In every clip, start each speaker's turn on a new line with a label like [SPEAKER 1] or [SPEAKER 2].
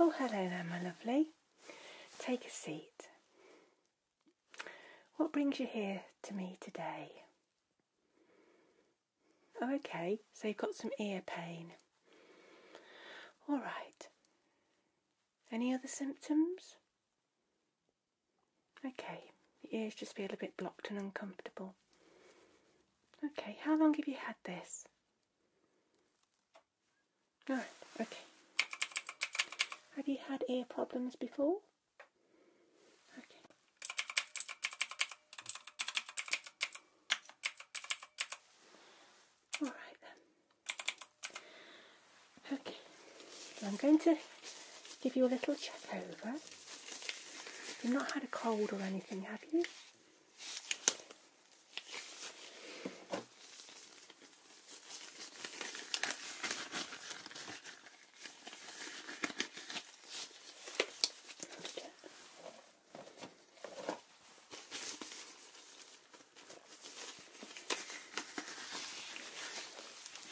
[SPEAKER 1] Oh, hello there, my lovely. Take a seat. What brings you here to me today? okay, so you've got some ear pain. All right. Any other symptoms? Okay, the ears just feel a bit blocked and uncomfortable. Okay, how long have you had this? All right, okay. Have you had ear problems before? Okay. All right then. Okay, I'm going to give you a little check over. You've not had a cold or anything, have you?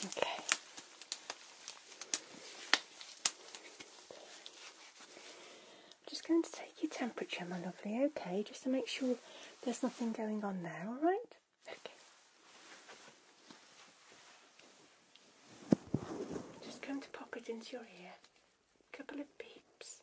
[SPEAKER 1] Okay. I'm just going to take your temperature, my lovely, okay, just to make sure there's nothing going on there, alright? Okay. Just going to pop it into your ear. A couple of beeps.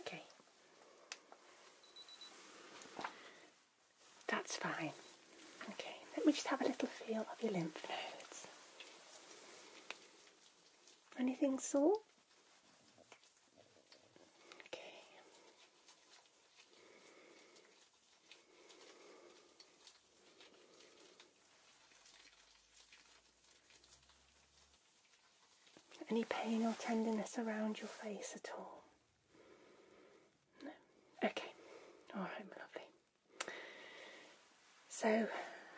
[SPEAKER 1] Okay. That's fine. Okay, let me just have a little feel of your lymph nodes. Anything sore? Okay. Any pain or tenderness around your face at all? No. Okay. All right, lovely. So,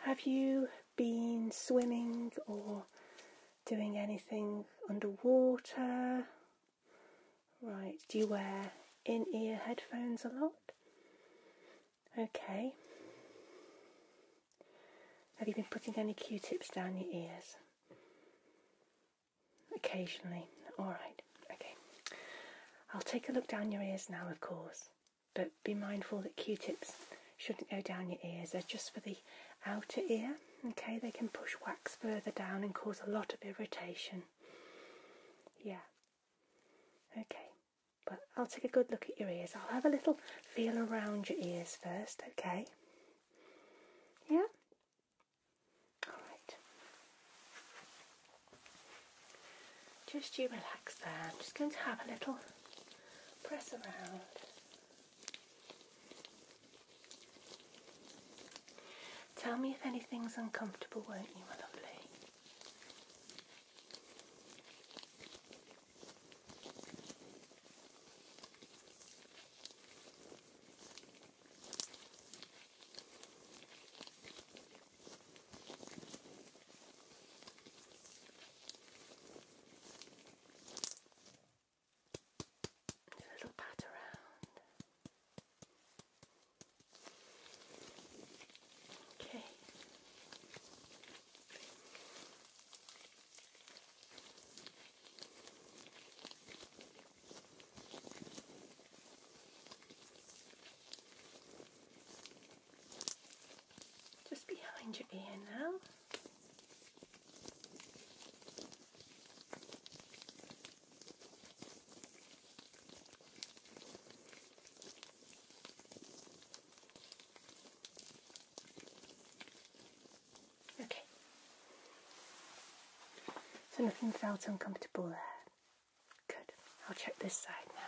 [SPEAKER 1] have you been swimming or doing anything underwater? Right. Do you wear in-ear headphones a lot? Okay. Have you been putting any Q-tips down your ears? Occasionally. Alright, okay. I'll take a look down your ears now, of course, but be mindful that q tips shouldn't go down your ears. They're just for the outer ear, okay? They can push wax further down and cause a lot of irritation. Yeah. Okay, but I'll take a good look at your ears. I'll have a little feel around your ears first, okay? Yeah? Just you relax there. I'm just going to have a little press around. Tell me if anything's uncomfortable, won't you, my lovely? And a little pat around. Okay. Just behind your ear now. Okay. So nothing felt uncomfortable there. Good. I'll check this side now.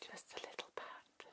[SPEAKER 1] Just a little pat.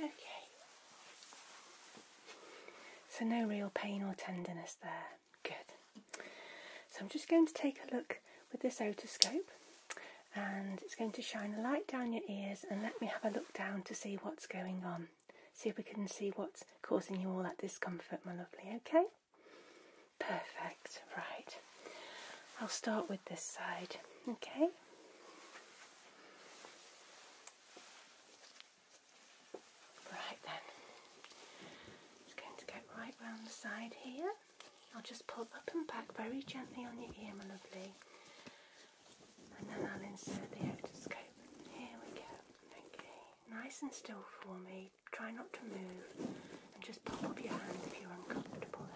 [SPEAKER 1] Okay. So no real pain or tenderness there. Good. So I'm just going to take a look with this otoscope and it's going to shine a light down your ears and let me have a look down to see what's going on. See if we can see what's causing you all that discomfort, my lovely, okay? Perfect, right. I'll start with this side, okay? Right then, it's going to get right round the side here. I'll just pull up and back very gently on your ear, my lovely. And then I'll insert the otoscope. Here we go. Okay, nice and still for me. Try not to move. And just pull up your hand if you're uncomfortable.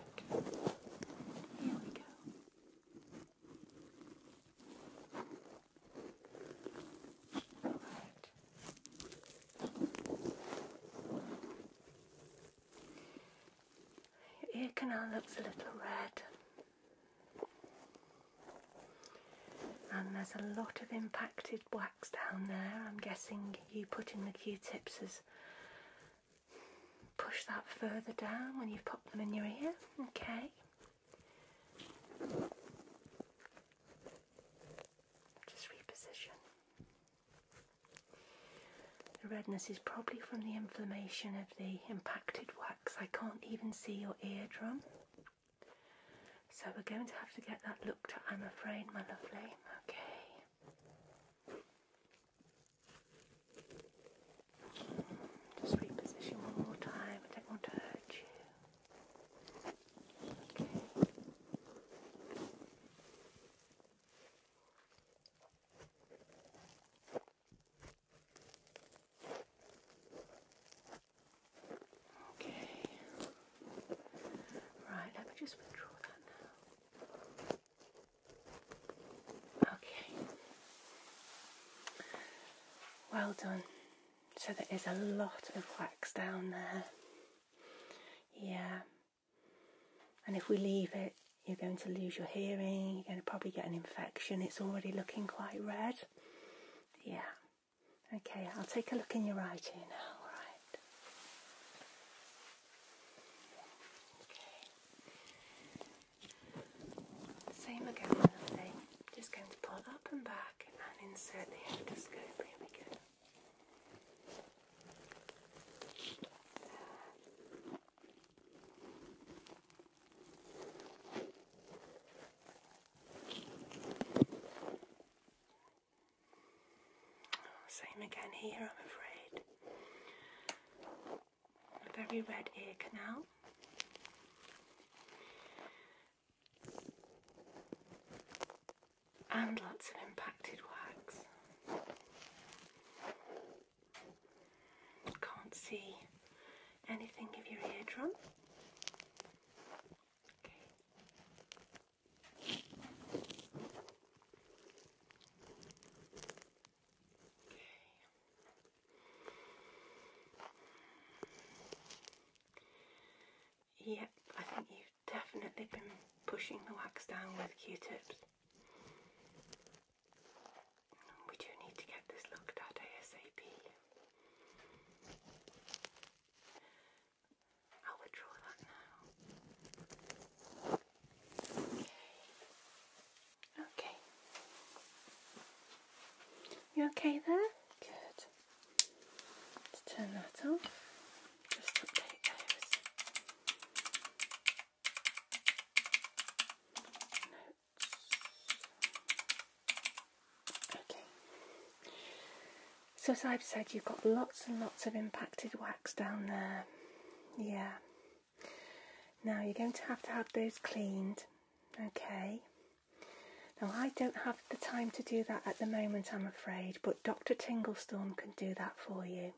[SPEAKER 1] Here we go. Your ear canal looks a little red. And there's a lot of impacted wax down there. I'm guessing you put in the Q-tips as push that further down when you've popped them in your ear. Okay. Just reposition. The redness is probably from the inflammation of the impacted wax. I can't even see your eardrum. So we're going to have to get that looked at, I'm afraid, my lovely. Okay. Just reposition one more time. I don't want to hurt you. Okay. Right, let me just withdraw that now. Okay. Well done. So there is a lot of wax down there. Yeah. And if we leave it, you're going to lose your hearing, you're going to probably get an infection. It's already looking quite red. Yeah. Okay, I'll take a look in your right ear now. All right. Okay. Same again, Just going to pull up and back and insert the endoscope. Here we go. Same again here, I'm afraid a very red ear canal. And lots of impacted wax. Can't see anything of your eardrum. Okay. Okay. Yep, I think you've definitely been pushing the wax down with Q-tips. We do need to get this looked at ASAP. I'll withdraw that now. Okay. You okay there? Good. let turn that off. Just update those. Okay. So as I've said, you've got lots and lots of impacted wax down there. Yeah. Now you're going to have to have those cleaned, okay? Now I don't have the time to do that at the moment, I'm afraid, but Dr. Tinglestone can do that for you.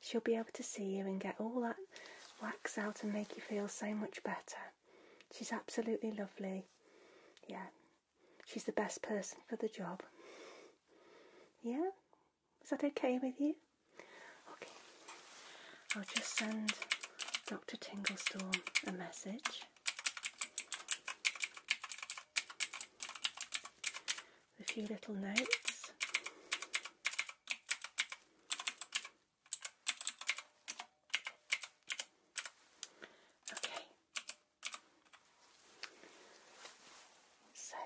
[SPEAKER 1] She'll be able to see you and get all that wax out and make you feel so much better. She's absolutely lovely. Yeah, she's the best person for the job. Yeah? Is that okay with you? Okay, I'll just send Dr. Tinglestorm a message. A few little notes. Okay. So,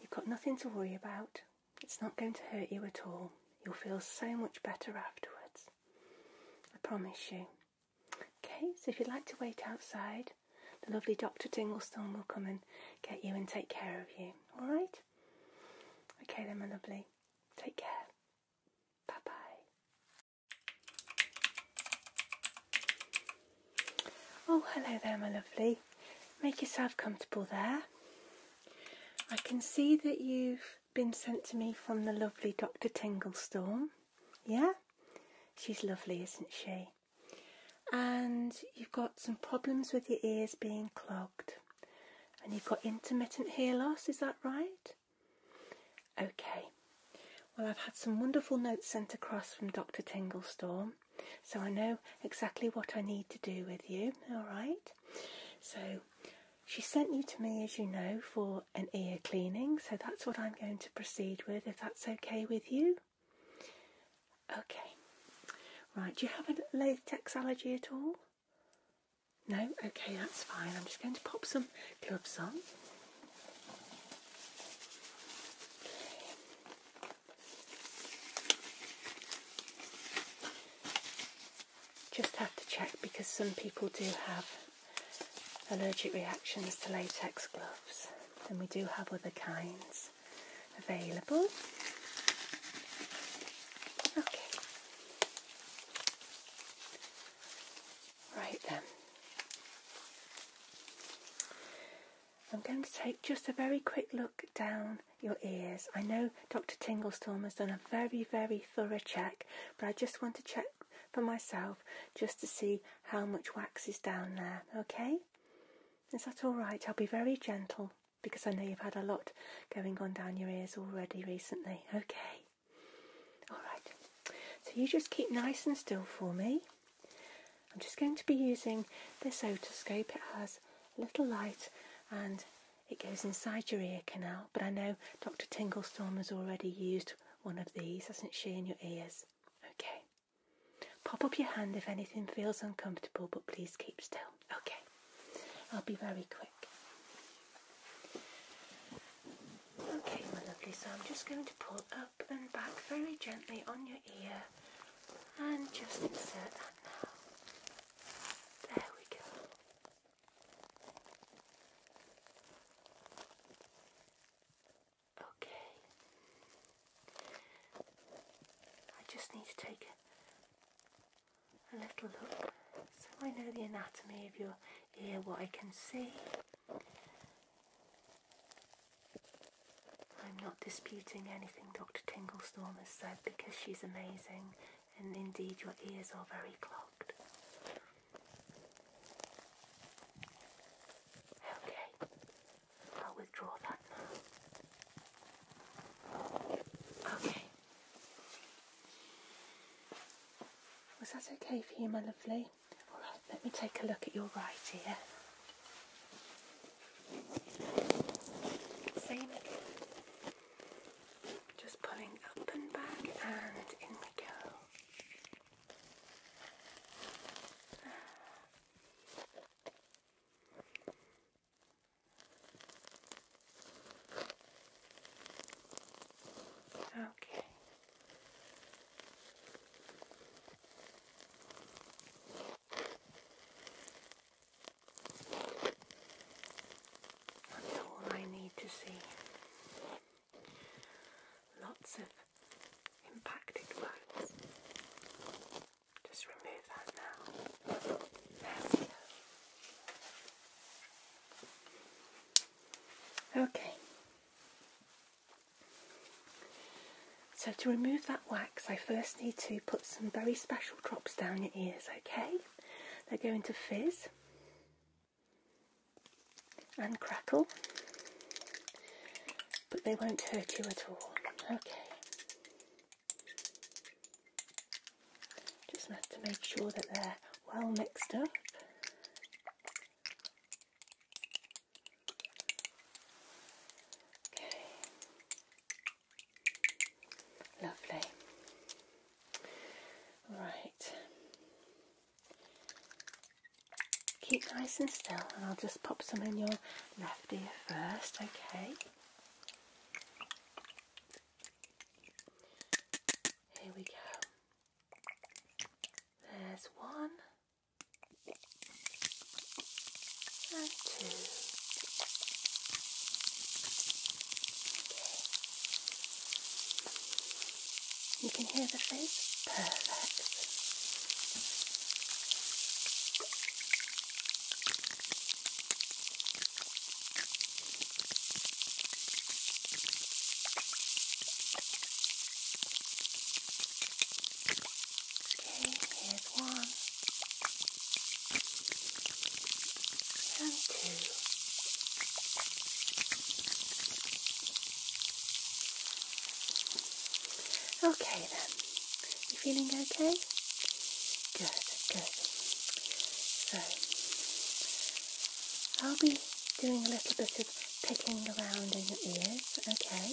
[SPEAKER 1] you've got nothing to worry about. It's not going to hurt you at all. You'll feel so much better afterwards. I promise you. Okay, so if you'd like to wait outside, the lovely Dr. Dinglestone will come and get you and take care of you. All right? Okay then, my lovely. Take care. Bye-bye. Oh, hello there, my lovely. Make yourself comfortable there. I can see that you've been sent to me from the lovely Dr. Tinglestorm. Yeah? She's lovely, isn't she? And you've got some problems with your ears being clogged. And you've got intermittent hair loss, is that right? Okay. Well, I've had some wonderful notes sent across from Dr. Tinglestorm, so I know exactly what I need to do with you, all right? So she sent you to me, as you know, for an ear cleaning. So that's what I'm going to proceed with, if that's okay with you. Okay. Right, do you have a latex allergy at all? No? Okay, that's fine. I'm just going to pop some gloves on. Just have to check because some people do have allergic reactions to latex gloves and we do have other kinds available. Okay. Right then. I'm going to take just a very quick look down your ears. I know Dr. Tinglestorm has done a very, very thorough check, but I just want to check for myself just to see how much wax is down there, okay? Is that all right? I'll be very gentle because I know you've had a lot going on down your ears already recently, okay? All right. So you just keep nice and still for me. I'm just going to be using this otoscope. It has a little light and it goes inside your ear canal, but I know Dr. Tinglestone has already used one of these, hasn't she, in your ears? Okay. Pop up your hand if anything feels uncomfortable, but please keep still. Okay. I'll be very quick. Okay, my lovely, so I'm just going to pull up and back very gently on your ear and just insert that now. There we go. Okay. I just need to take a, little look so I know the anatomy of your ear, what I can see. I'm not disputing any Dr. Tinglestorm has said because she's amazing and indeed your ears are very clogged. Okay, I'll withdraw that now. Okay. Was that okay for you, my lovely? Alright, let me take a look at your right ear. Same again. Just pulling up and back and in we go. Okay. That's all I need to see. Lots of impacted words. Just remove that now. There we go. Okay. So to remove that wax, I first need to put some very special drops down your ears, okay? They're going to fizz and crackle, but they won't hurt you at all, okay? Just have to make sure that they're well mixed up. Okay. Lovely. Right. Keep nice and still, and I'll just pop some in your left ear first, okay? Here we go. There's one and two. Okay. You can hear the face? Perfect. Okay, here's one. And two. Okay then. You feeling okay? Good, good. So I'll be doing a little bit of picking around in your ears, okay?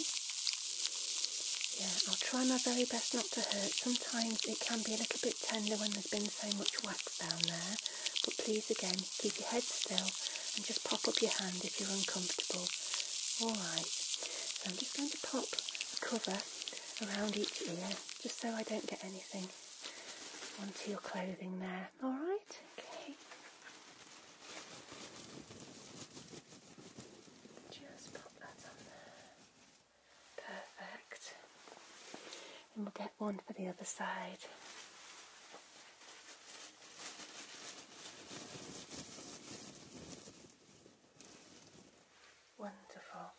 [SPEAKER 1] Yeah, I'll try my very best not to hurt them sometimes it can be a little bit tender when there's been so much wax down there, but please again, keep your head still and just pop up your hand if you're uncomfortable. Alright, so I'm just going to pop a cover around each ear, just so I don't get anything onto your clothing there. Alright, okay. Just pop that on there. Perfect. And we'll get one for the other side. Wonderful.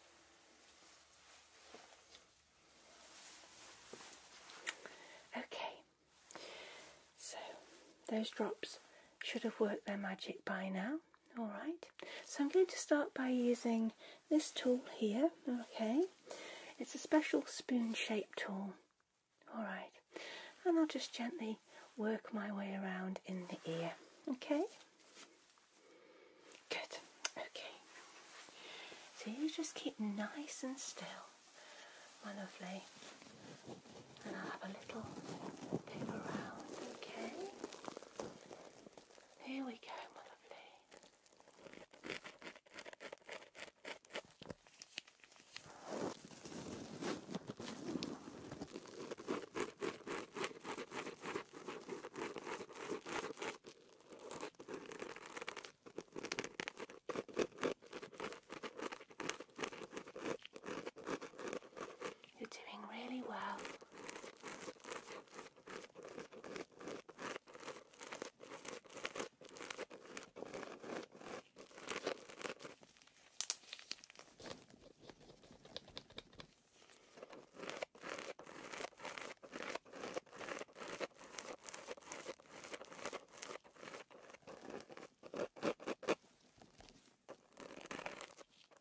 [SPEAKER 1] Okay, so those drops should have worked their magic by now. Alright, so I'm going to start by using this tool here, okay? It's a special spoon shaped tool. Alright, and I'll just gently work my way around in the ear, okay? Good, okay. So you just keep nice and still, my lovely. And I'll have a little pip around, okay? Here we go, my lovely. You're doing really well.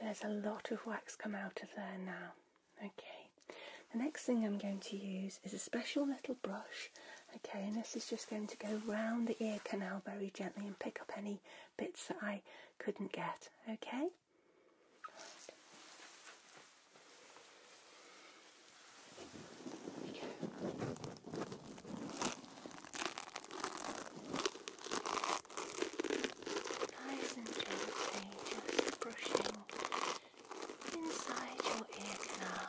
[SPEAKER 1] There's a lot of wax come out of there now. Okay, the next thing I'm going to use is a special little brush. Okay, and this is just going to go round the ear canal very gently and pick up any bits that I couldn't get. Okay. Nice and gently, just brushing inside your ear canal.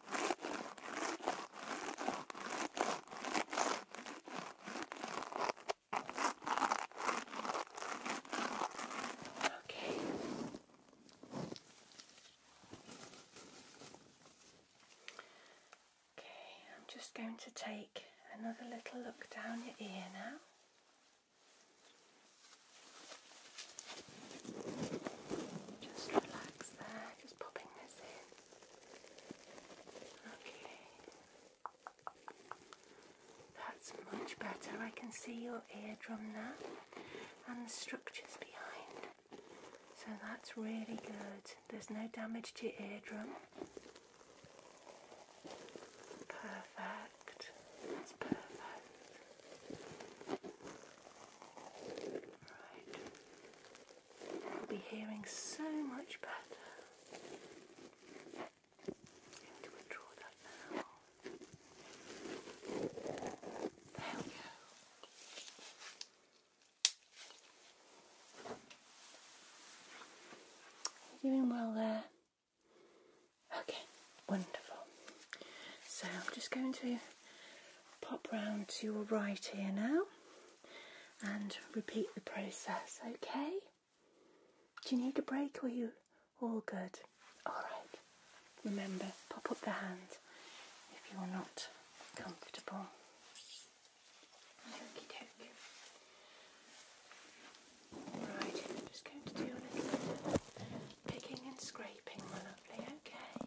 [SPEAKER 1] Okay. Okay, I'm just going to take another little look down your ear now. Just relax there, just popping this in. Okay. That's much better. I can see your eardrum now and the structures behind. So that's really good. There's no damage to your eardrum. Perfect. That's perfect. Right. I'll be hearing so much better. I'm going to withdraw that now. There we go. Doing well there. Okay, wonderful. So I'm just going to pop round to your right ear now and repeat the process, okay? Do you need a break or are you all good? Alright, remember, pop up the hand if you're not comfortable. Right, just going to do a little picking and scraping, my lovely, okay?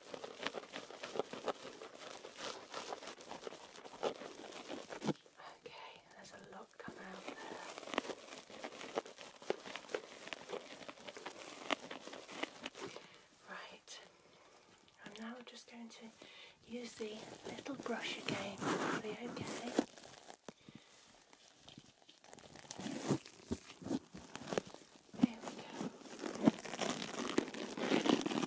[SPEAKER 1] Okay, there's a lot come out there. Right, I'm now just going to use the little brush again. Are they okay? There we go.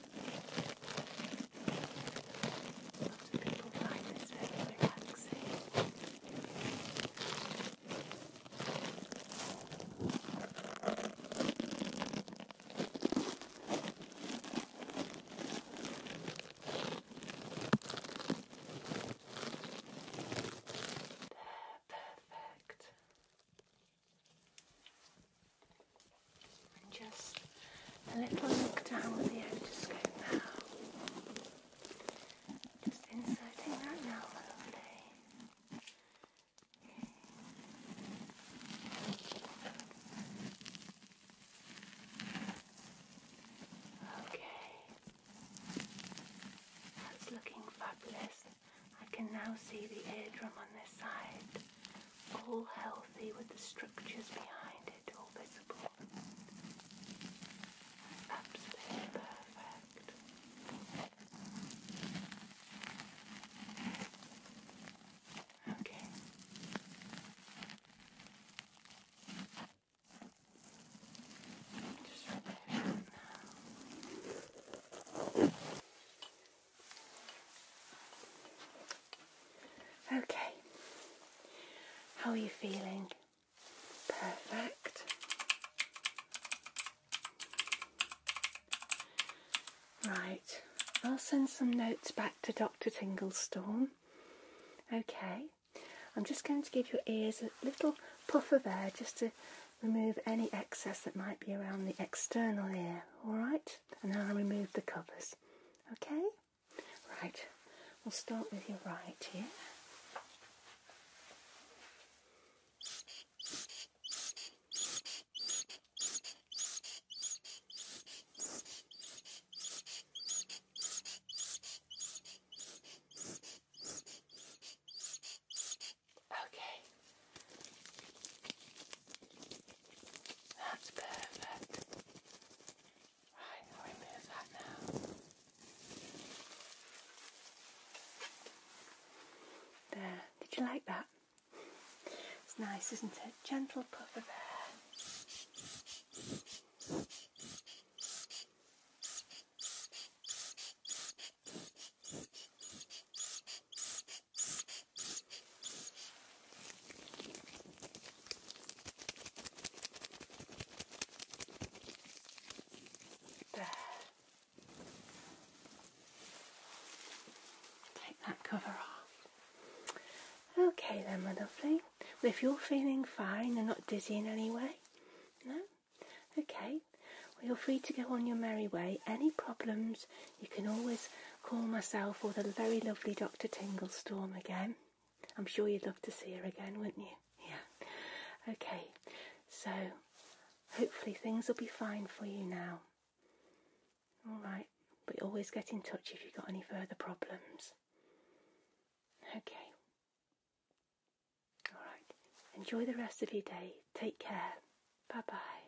[SPEAKER 1] Most people find this very relaxing. There, perfect. And just a little look down with the otoscope now. Just inserting that now, lovely. Okay, that's looking fabulous. I can now see the eardrum on this side all healthy with the structures behind it all visible. Absolutely perfect. Okay. Just remove it now. Okay, how are you feeling? Perfect. Right, I'll send some notes back to Dr. Tinglestorm. Okay, I'm just going to give your ears a little puff of air just to remove any excess that might be around the external ear, alright? And now I'll remove the covers. Okay? Right, we'll start with your right here. Okay. That's perfect. Right, remove that now. There. Did you like that? It's nice, isn't it? Gentle puff of air. There. Take that cover off. Okay then, my lovely. if you're feeling fine and not dizzy in any way, no? Okay. Well, you're free to go on your merry way. Any problems, you can always call myself or the very lovely Dr. Tinglestorm again. I'm sure you'd love to see her again, wouldn't you? Yeah. Okay, so hopefully things will be fine for you now. All right, We always get in touch if you've got any further problems. Okay. All right, enjoy the rest of your day. Take care. Bye bye.